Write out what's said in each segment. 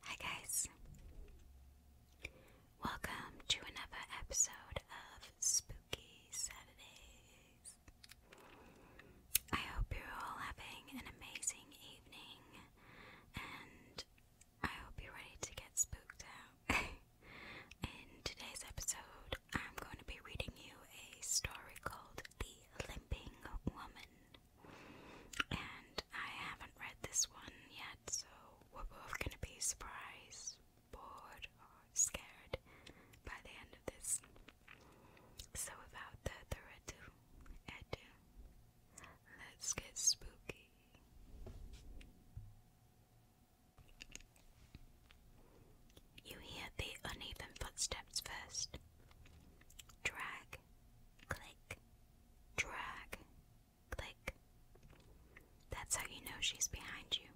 Hi, guys. Welcome to another episode of Spooky Saturdays. I hope you're all having an amazing evening, and I hope you're ready to get spooked out. In today's episode, I'm going to be reading you a story called The Limping Woman. And I haven't read this one yet, so we're both gonna be surprised, bored, or scared by the end of this. So, without further ado, let's get spooky. You hear the uneven footsteps first. Drag click, drag, click. That's how you know she's behind you.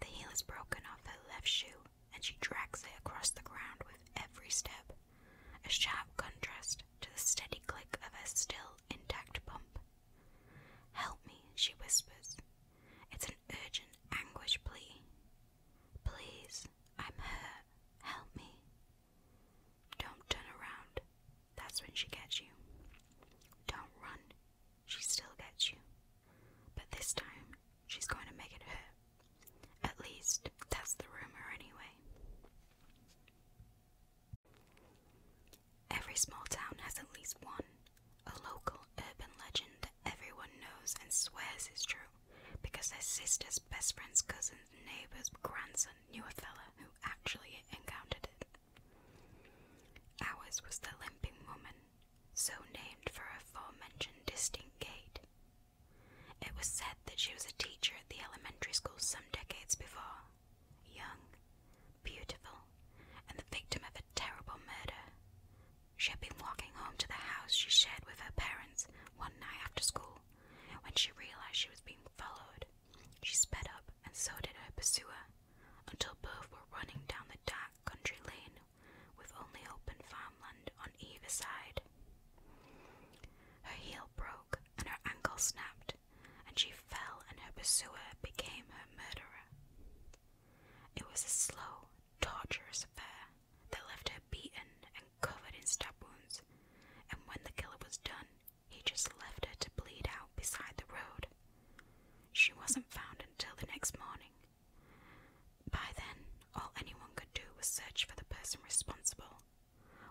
The heel is broken off her left shoe, and she drags it across the ground with every step, a sharp contrast to the steady click of her still intact pump. Help me, she whispers. It's an urgent anguish plea. Please, I'm hurt. Help me. Don't turn around. That's when she gets you. Don't run. She still gets you. But this time, she's going to make it hurt. At least, that's the rumor anyway. Every small town has at least one, a local urban legend everyone knows and swears it's true, because their sister's best friend's cousin's neighbor's grandson knew a fella who actually encountered it. Ours was the Limping Woman, so named for her forementioned distinct gait. It was said that she was a teacher at the elementary school some decades before, young, beautiful, and the victim of a terrible murder, she had been walking home to the house she shared with her parents one night after school when she realized she was being followed. She sped up, and so did her pursuer, until both were running down the dark country lane with only open farmland on either side. Her heel broke and her ankle snapped, and she fell, and her pursuer became her murderer. It was a slow, torturous affair, that left her beaten and covered in stab wounds, and when the killer was done, he just left her to bleed out beside the road. She wasn't found until the next morning. By then, all anyone could do was search for the person responsible.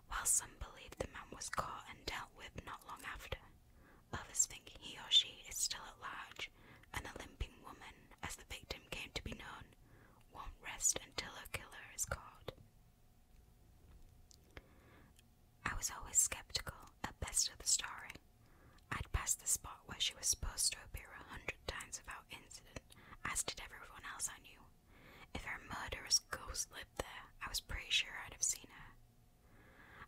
While some believe the man was caught and dealt with not long after, others think he or she is still at large, and the limping woman, as the victim came to be known, won't rest until her killer is caught. I was always skeptical at best of the story. I'd passed the spot where she was supposed to appear a hundred times without incident, as did everyone else I knew. If a murderous ghost lived there, I was pretty sure I'd have seen her.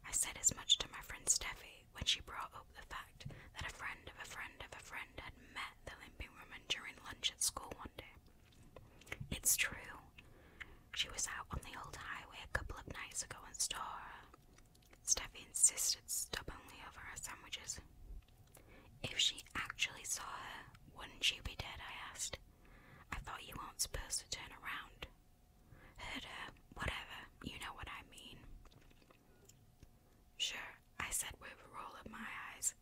I said as much to my friend Steffi when she brought up the fact that a friend of a friend of a friend had met the limping woman during lunch at school one day. It's true. She was out on the old highway a couple of nights ago and saw her. Steffi insisted stubbornly over her sandwiches. If she actually saw her, wouldn't she be dead? I asked. I thought you weren't supposed to turn around. Heard her, whatever, you know what I mean. Sure, I said with a roll of my eyes.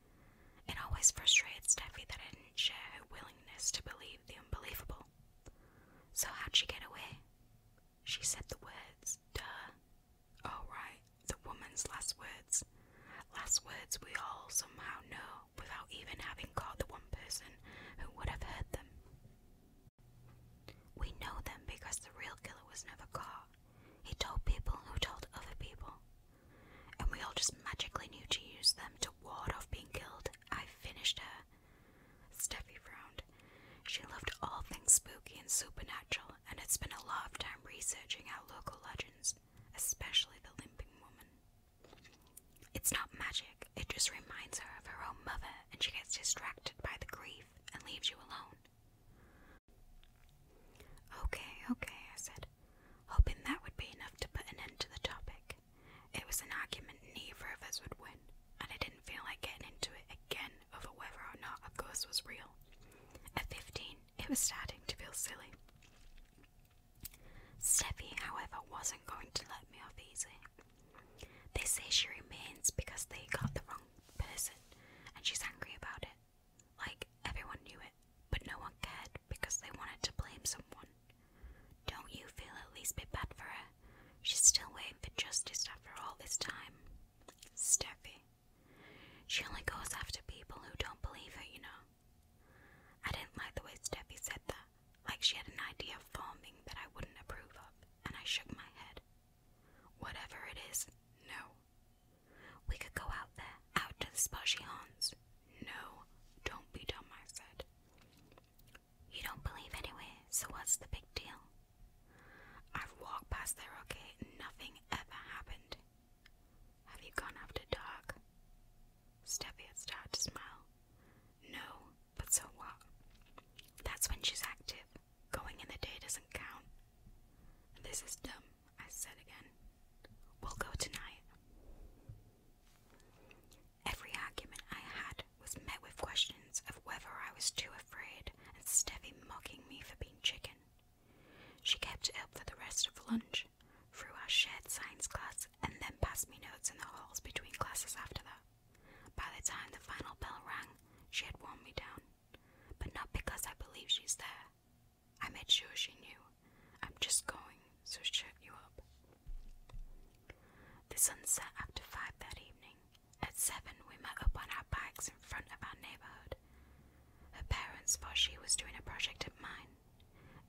It always frustrated Steffi that I didn't share her willingness to believe the unbelievable. So how'd she get away? She said the words, duh. Oh, right, the woman's last words. Last words we all somehow know without even having caught the one person who would have heard them. We know them because the real killer was never caught, he told people who told other people. And we all just magically knew to use them to ward off being killed. I finished her. Steffi frowned. She loved all things spooky and supernatural and it's been a lot of time researching our local legends, especially the limping woman. It's not magic, it just reminds her of her own mother and she gets distracted by the grief and leaves you alone. Okay, okay, I said, hoping that would be enough to put an end to the topic. It was an argument neither of us would win, and I didn't feel like getting into it again over whether or not a ghost was real. At 15, it was starting to feel silly. Steffi, however, wasn't going to let me off easy. They say she remains because they got the wrong person and she's angry about it. Like, everyone knew it, but no one cared because they wanted to blame someone. Don't you feel at least a bit bad for her? She's still waiting for justice after all this time. Steffi. She only goes after people who don't believe her, you know. I didn't like the way Steffi said that, like she had an idea of farming that I wouldn't approve of, and I shook my head. Whatever it is, no. We could go out there, out to the spot she No, don't be dumb, I said. You don't believe anyway, so what's the big deal? I've walked past there, okay? Nothing ever happened. Have you gone after dark? Steffi had started to smile. No, but so what? That's when she's active. Going in the day doesn't count. This is dumb, I said again. We'll go tonight. Every argument I had was met with questions of whether I was too afraid and Steffi mocking me for being chicken. She kept it up for the rest of lunch, through our shared science class, and then passed me notes in the halls between classes after that. By the time the final bell rang, she had worn me down but not because I believe she's there. I made sure she knew. I'm just going, so shut you up. The sun set after five that evening. At seven, we met up on our bikes in front of our neighborhood. Her parents thought she was doing a project of mine.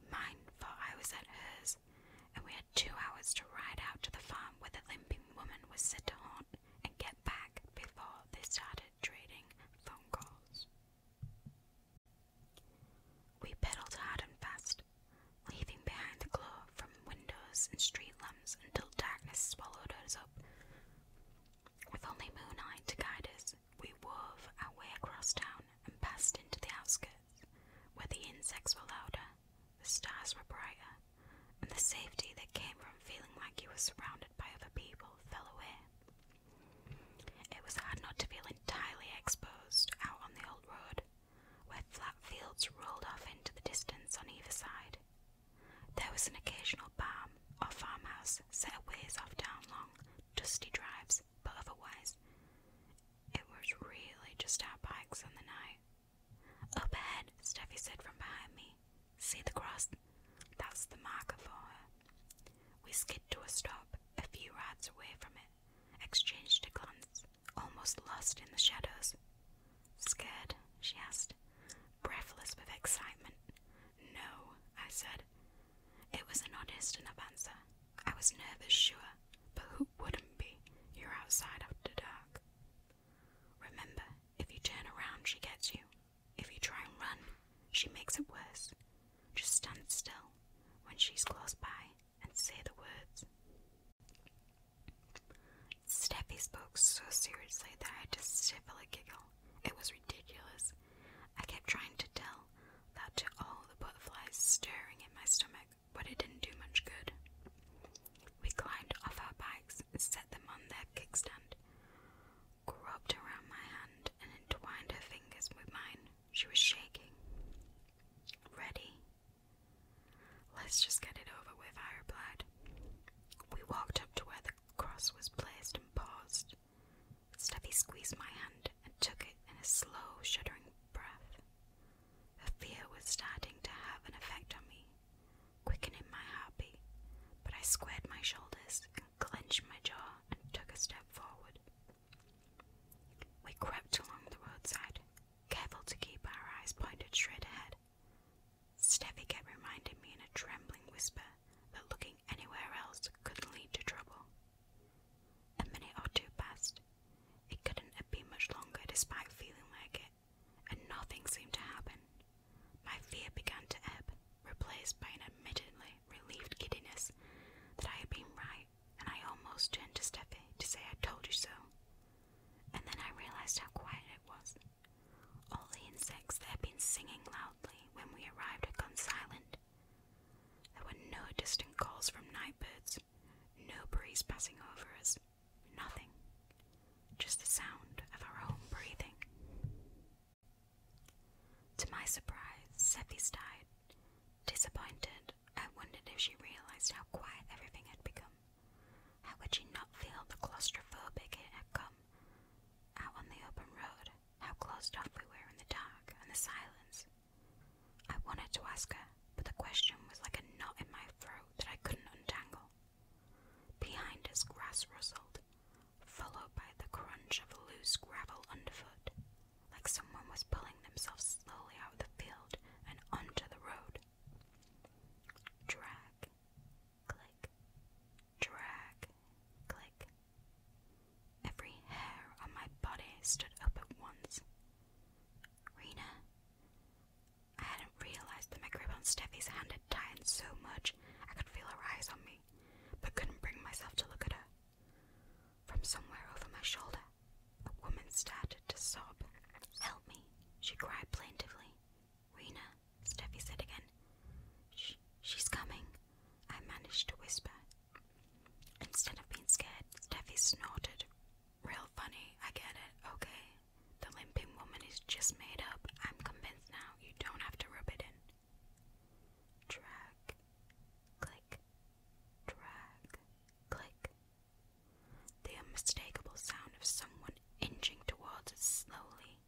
Mine thought I was at hers, and we had two hours to ride out to the farm where the limping woman was said to haunt and get back before they started trading phone calls. We pedaled hard and fast, leaving behind the glow from windows and street lamps until darkness swallowed us up. With only moonlight to guide us, we wove our way across town and passed into the outskirts, where the insects were louder, the stars were brighter, and the safety that came from feeling like you were surrounded by other people fell away. It was hard not to feel entirely exposed out on the old road, where flat fields rolled off into the distance on either side. There was an occasional barn or farmhouse set ways off down long, dusty drives, but otherwise, it was really just our bikes on the night. Up ahead, Steffi said from behind me. See the cross? That's the marker for her. We skid to a stop, a few yards away from it, exchanged a glance, almost lost in the shadows. Scared? she asked, breathless with excitement. No, I said. It was an honest enough answer. I was nervous, sure, but who wouldn't be? You're outside after dark. Remember, if you turn around, she gets you. If you try and run, she makes it worse. Just stand still when she's close by and say the words. Steffi spoke so seriously that I just to stifle a giggle. It was ridiculous. I kept trying to tell that to all the butterflies stirring in my stomach, but it didn't do much good. We climbed off our bikes set them on their kickstand. Groped around my hand and entwined her fingers with mine. She was shaking. Ready? Let's just get it over with, I replied. We walked up to where the cross was placed and paused. Steffi squeezed my hand and took it in a slow, shuddering breath. Her fear was starting to have an effect on me, quickening my heartbeat, but I squared my shoulders and clenched my jaw and took a step forward. We crept along the roadside, careful to keep our eyes pointed straight ahead. Stevie kept reminding me in a trembling whisper that looking anywhere else could lead to trouble. A minute or two passed. It couldn't have been much longer despite feeling like it and nothing seemed to happen. My fear began to ebb, replaced by an admittedly relieved giddiness that I had been right, and I almost turned to Steffi to say I told you so. And then I realized how quiet it was. All the insects that had been singing loudly when we arrived had gone silent. There were no distant calls from night birds, no breeze passing over us, Nothing. Just the sound of our own breathing. To my surprise, Seppi died. Disappointed, I wondered if she realized how quiet everything had become. How could she not feel the claustrophobic it come? Out on the open road, how closed off we were in the dark and the silence. I wanted to ask her, but the question was like a knot in my throat that I couldn't untangle. Behind us, grass rustled, followed by the crunch of loose gravel underfoot, like someone was pulling themselves slowly out of the field and onto the road. Drag, click, drag, click. Every hair on my body stood up at once. Rena, I hadn't realized that my grip on Steffi's hand had tightened so much I could feel her eyes on me, but couldn't bring myself to look at her. From somewhere over my shoulder, a woman started to sob. Help me, she cried plaintively. Rena, Steffi said again. Sh she's coming, I managed to whisper. Instead of being scared, Steffi snorted. Real funny, I get it, okay, the limping woman is just made up. I'm convinced now. You don't have to rub it in. Drag. Click. Drag. Click. The unmistakable sound of someone inching towards slowly,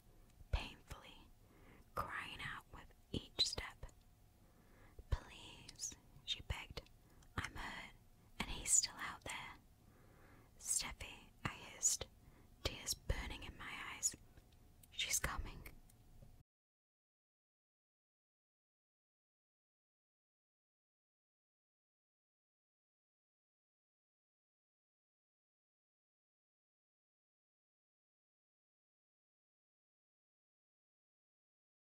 painfully, crying out with each step. Please, she begged. I'm hurt, and he's still out there. Steffi, I hissed, tears burning in my eyes. She's coming.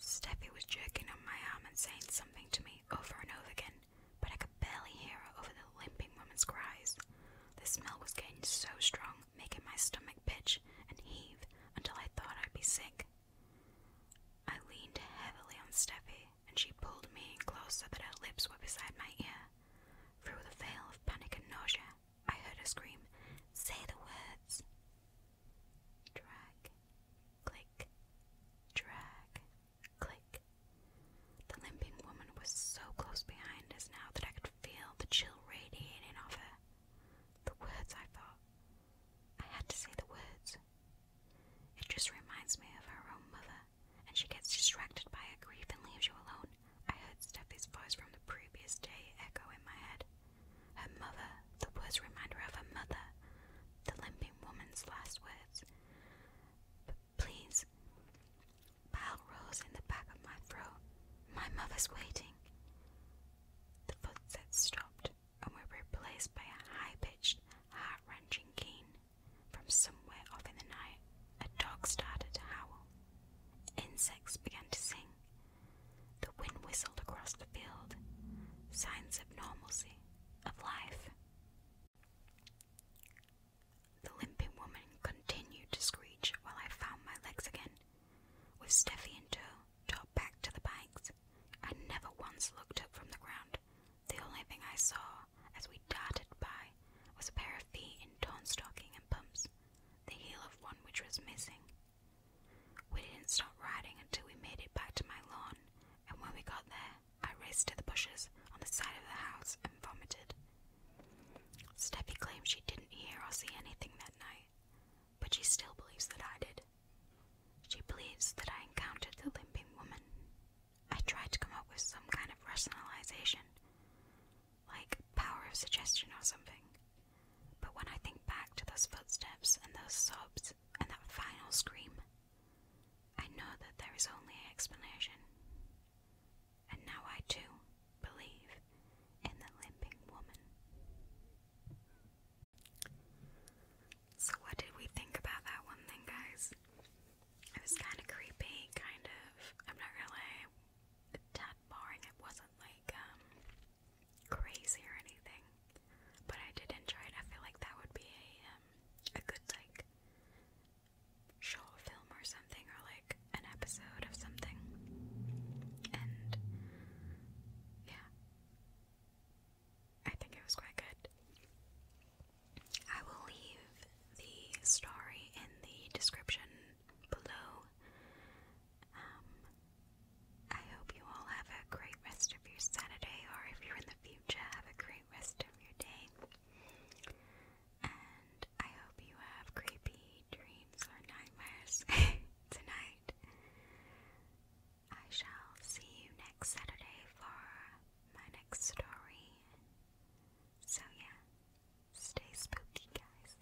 Steffi was jerking on my arm and saying something to me over and over again, but I could barely hear her over the limping woman's cries. The smell was getting so strong, making my stomach pitch and heave until I thought I'd be sick. I leaned heavily on Steffi, and she pulled me in close so that her lips were beside my ear. Through the veil of panic and nausea, I heard her scream, Say the words! Drag, click, drag, click. The limping woman was so close behind us now that I could feel the chill radiating off her. The words, I thought. I had to say the words. It just reminds me of her own mother, and she gets distracted by her grief and leaves you alone. I heard Steffi's voice from the previous day echo in my head. Her mother, the words remind her of her mother, the limping woman's last words. But please, bile rose in the back of my throat. My mother's waiting. The footsteps stopped and were replaced by a high pitched, heart wrenching keen. From somewhere off in the night, a dog started to howl. Insects began to sing. The wind whistled across the field, signs of normalcy, of life. The limping woman continued to screech while I found my legs again, with Steffi in tow, top back to the bikes. I never once looked up from the ground. The only thing I saw as we darted by was a pair of feet in torn stocking and pumps, the heel of one which was missing, we didn't stop riding until we made it back to my lawn, and when we got there, I raced to the bushes on the side of the house and vomited. Steffi claims she didn't hear or see anything that night, but she still believes that I did. She believes that I encountered the limping woman. I tried to come up with some kind of rationalization, like power of suggestion or something, but when I think back to those footsteps and those sobs and that final scream, I know that there is only an explanation. And now I too believe in the limping woman. So, what did we think about that one then, guys? It was kind of creepy, kind of. I'm not gonna lie, a tad boring. It wasn't like um, crazy or anything, but I did enjoy it. I feel like that would be a um, a good like short film or something, or like an episode of something. And yeah, I think it was quite good. I will leave the story in the description below. Um, I hope you all have a great rest of your Saturday, or if you're in the future, have a great rest of your day. And I hope you have creepy dreams or nightmares tonight. I shall see you next Saturday for my next story. So, yeah, stay spooky, guys.